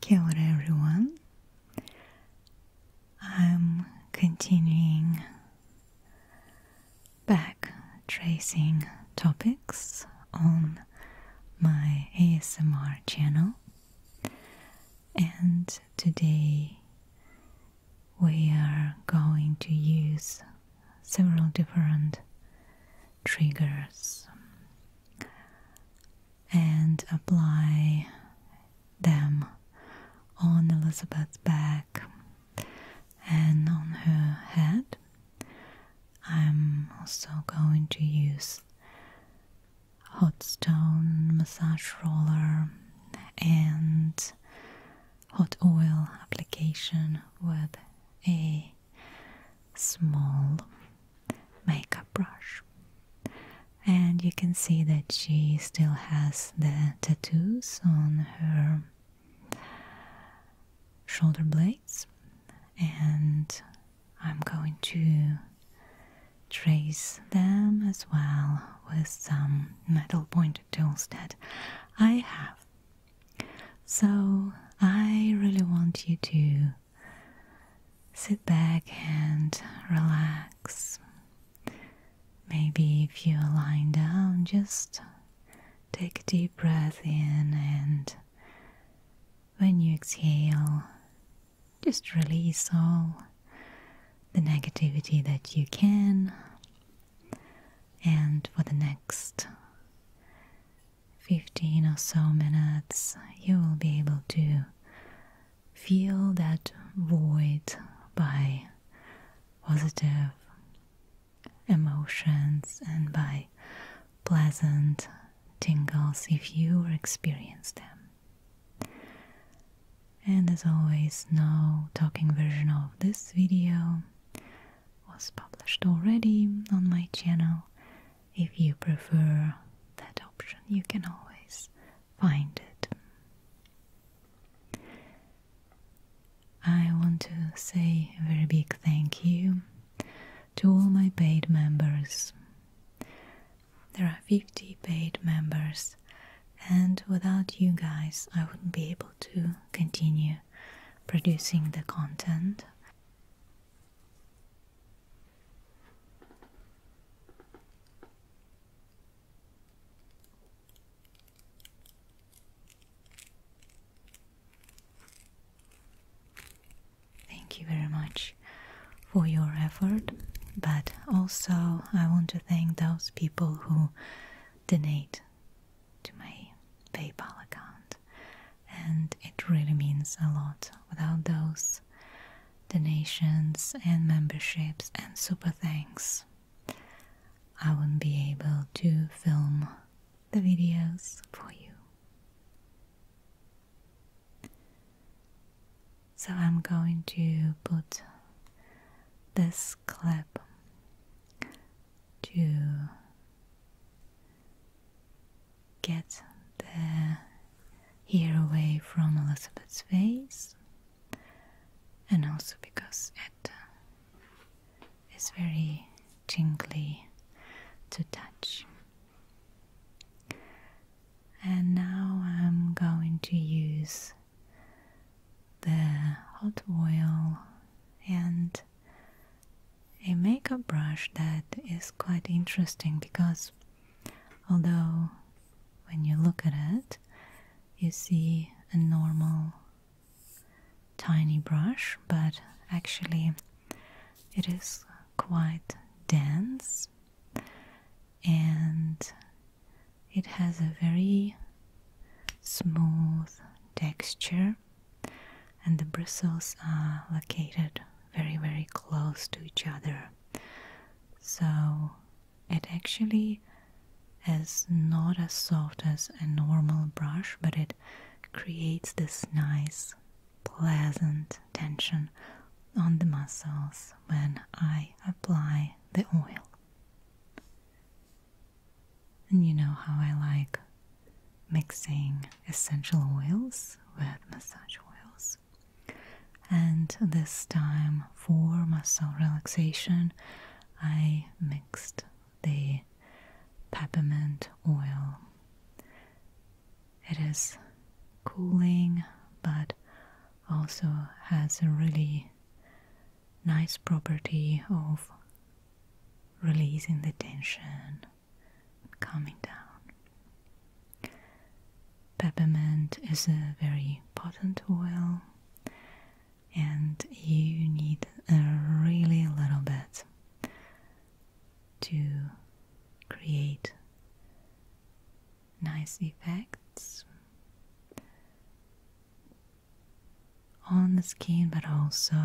Kia ora everyone. I'm continuing back tracing topics on my ASMR channel, and today we are going to use several different triggers and apply them on Elizabeth's back and on her head. I'm also going to use hot stone massage roller and hot oil application with a small makeup brush. And you can see that she still has the tattoos on her shoulder blades and I'm going to trace them as well with some metal pointed tools that I have. So I really want you to sit back and relax. Maybe if you are lying down, just take a deep breath in, and when you exhale, just release all the negativity that you can. And for the next 15 or so minutes, you will be able to feel that void by positive emotions and by pleasant tingles if you experience them. And as always, now talking version of this video was published already on my channel. If you prefer that option, you can always find it. I want to say a very big thank you to all my paid members. There are 50 paid members, and without you guys, I wouldn't be able to continue producing the content. Thank you very much for your effort, but also I want to thank those people who donate to my PayPal account, and it really means a lot. Without those donations and memberships and super thanks, I won't be able to film the videos for you. So I'm going to put this clip to get the hair away from Elizabeth's face and also because it it's very jingly to touch. And now I'm going to use the hot oil and a makeup brush that is quite interesting because although when you look at it you see a normal tiny brush, but actually it is quite dense and it has a very smooth texture, and the bristles are located very, very close to each other. So it actually is not as soft as a normal brush, but it creates this nice, pleasant tension on the muscles when I apply the oil. And you know how I like mixing essential oils with massage oils. And this time for muscle relaxation, I mixed the peppermint oil. It is cooling but also has a really nice property of releasing the tension, calming down. Peppermint is a very potent oil and you need a really little bit to create nice effects on the skin, but also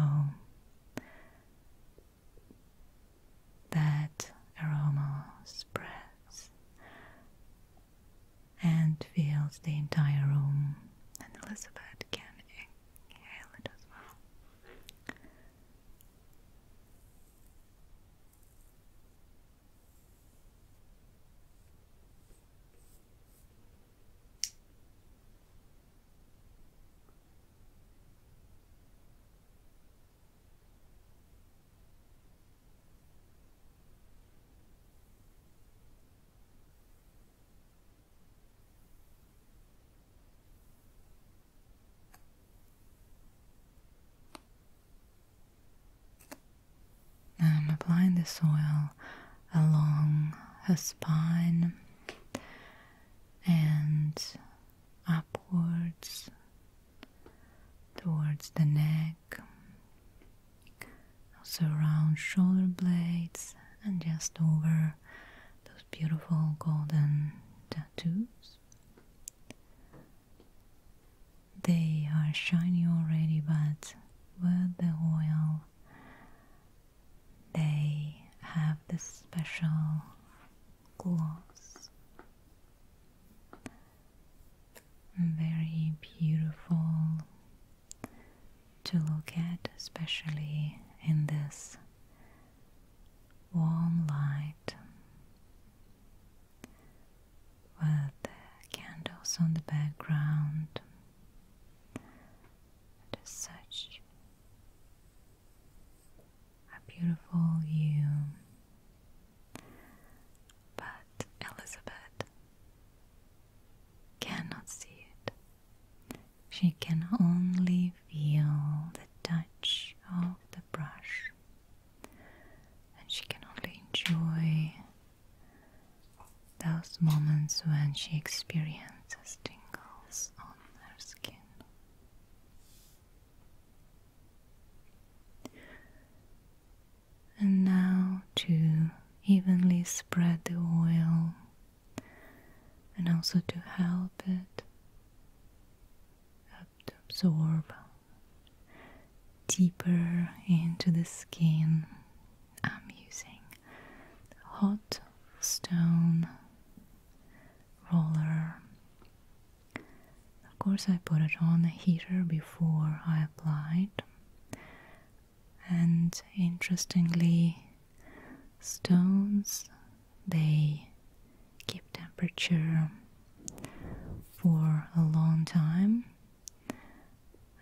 that aroma spreads and fills the entire room. And Elizabeth can inhale it as well. Now I'm applying the oil along her spine and upwards towards the neck neck, um, also around shoulder blades, and just over those beautiful golden tattoos. They are shiny already, but with the oil, they have this special gloss very beautiful to look at, especially in this warm light with candles on the background. such a beautiful view. But Elizabeth cannot see She can only feel the touch of the brush, and she can only enjoy those moments when she experiences tingles on her skin and now to evenly spread the oil and also to help it absorb deeper into the skin. I'm using hot stone roller of course, I put it on a heater before I applied, and interestingly, stones they keep temperature for a long time.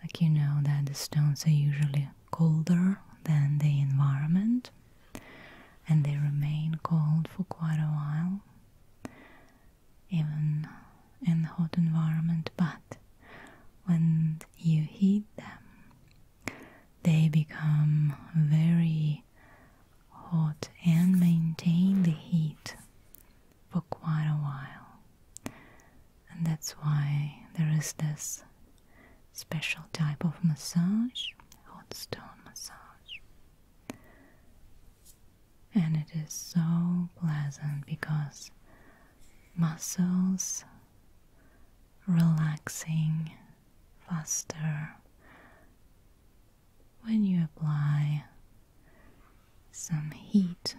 Like you know, that the stones are usually colder than the environment and they remain cold for quite a while even in the hot environment, but when you heat them, they become very hot and maintain the heat for quite a while. And that's why there is this special type of massage, hot stone massage. And it is so pleasant because muscles relaxing faster when you apply some heat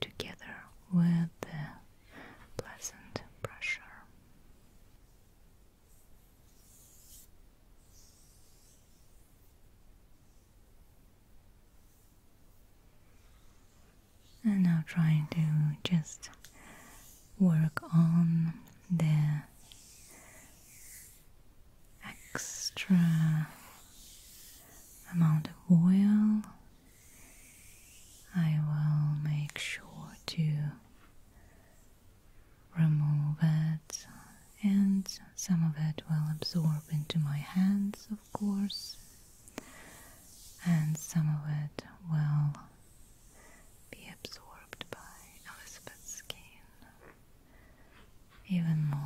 together with the pleasant pressure. And now trying to just work on the extra amount of oil. I will make sure to remove it and some of it will absorb into my hands of course and some of it will be absorbed by Elizabeth's skin even more.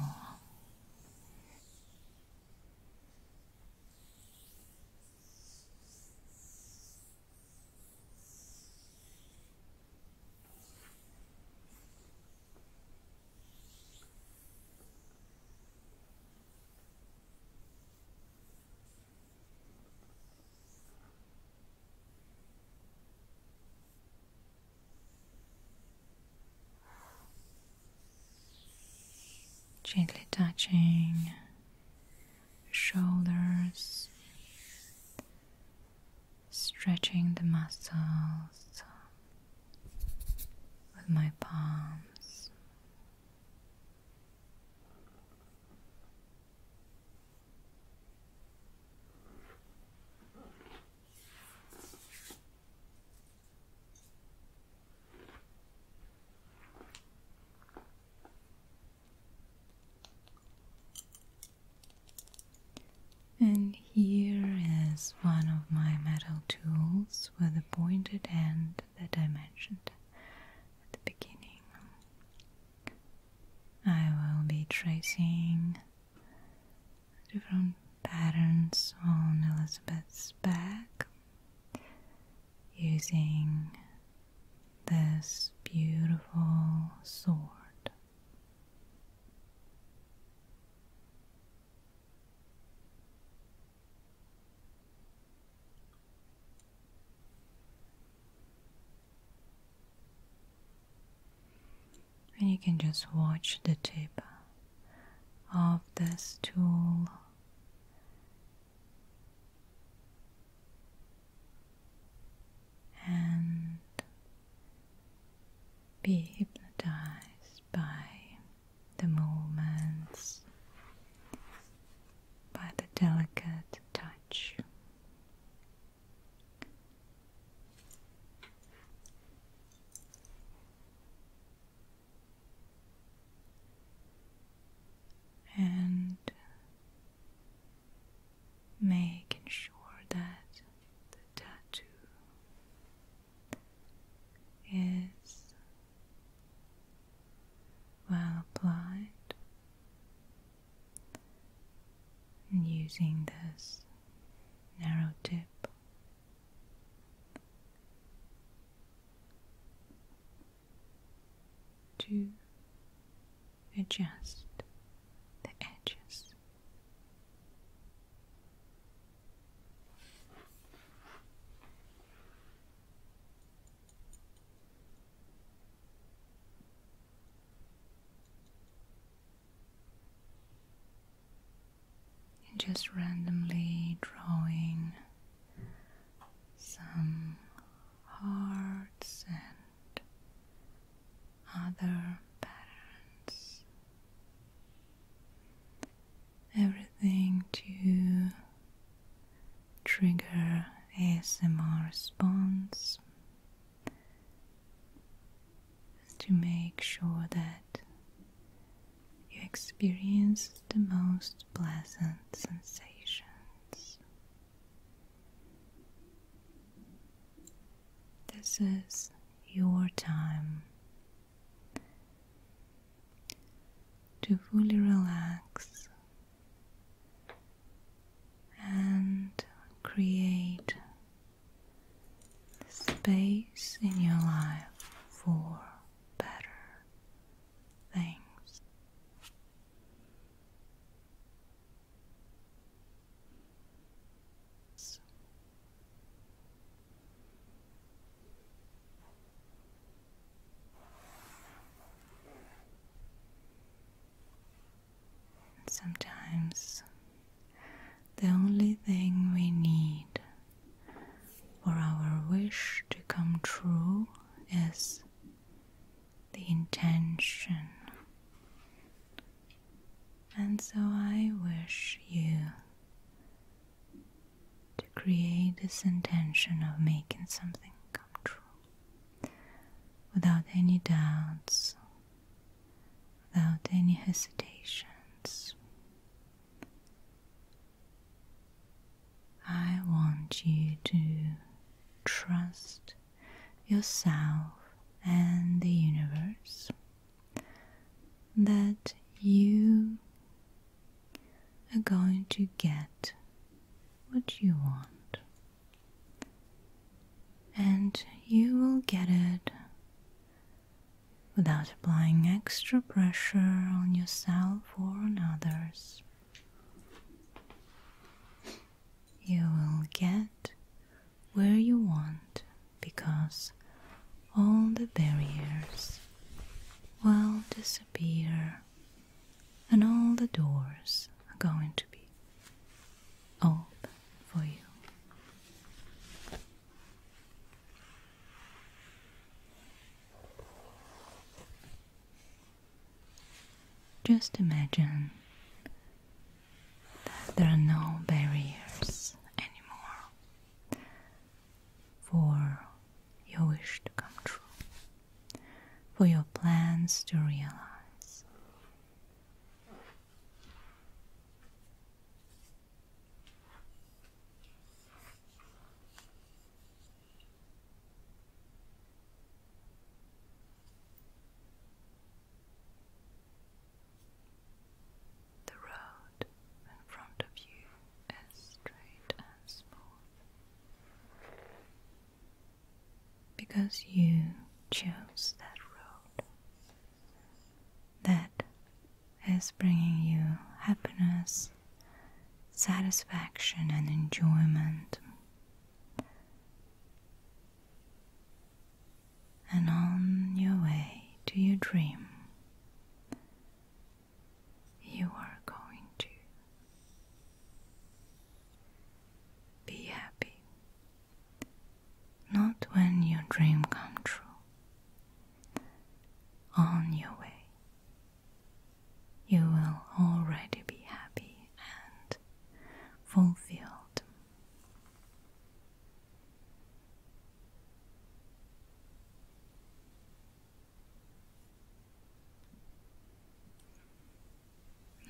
Gently touching shoulders stretching the muscles with my palms. And here is one of my metal tools with a pointed end that I mentioned at the beginning. I will be tracing different patterns on Elizabeth's back using this beautiful sword. And you can just watch the tip of this tool and be hypnotized by the moments, by the delicate touch. And making sure that the tattoo is well applied using this narrow tip to adjust the edges. And just randomly drawing some hearts and other patterns. Everything to trigger ASMR response to make sure that you experience the most pleasant sensations. This is your time to fully relax and create space in your life for better things. Sometimes the only thing we need for our wish to come true is the intention. And so I wish you to create this intention of making something come true without any doubts, without any hesitations. I want you to trust yourself and the universe that you are going to get what you want, and you will get it without applying extra pressure on yourself or on others. You will get where you want because all the barriers will disappear and all the doors are going to be open for you. Just imagine that there are no barriers anymore for your wish to come true, for your plans to realize. The road in front of you is straight and smooth because you chose that road. That is bringing you happiness satisfaction, and enjoyment. And on your way to your dream, you are going to be happy. Not when your dream come true. On your way you will already be happy and fulfilled.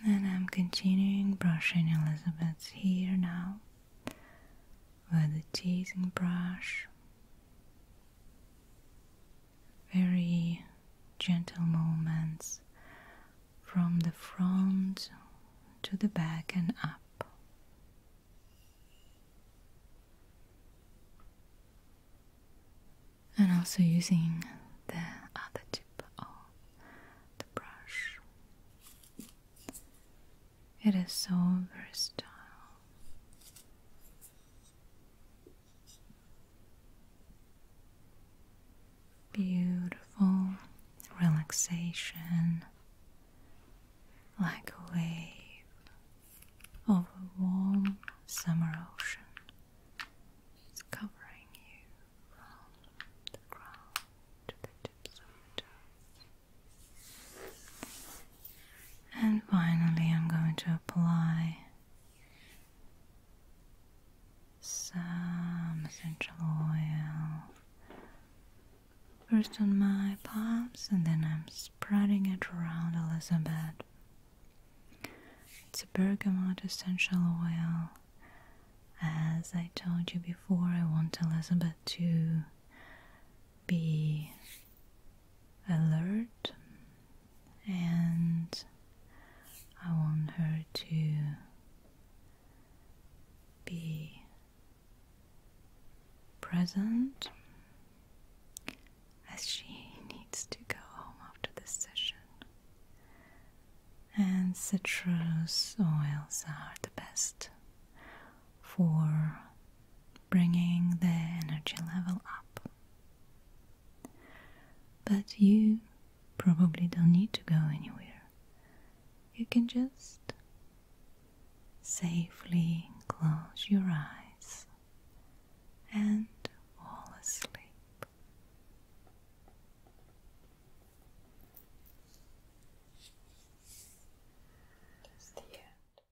And I'm continuing brushing Elizabeth's hair now with a teasing brush very gentle moments, from the front to the back and up. And also using the other tip of the brush. It is so versatile. Beautiful relaxation like a wave of a warm summer ocean. It's covering you from the ground to the tips of your toes. And finally, I'm going to apply some essential oil first on my palms, and then I'm spreading it around Elizabeth. It's a bergamot essential oil. As I told you before, I want Elizabeth to be alert and I want her to be present as she needs to go home after this session. And citrus oils are the best for bringing the energy level up. But you probably don't need to go anywhere. You can just safely close your eyes and fall asleep. That's the end.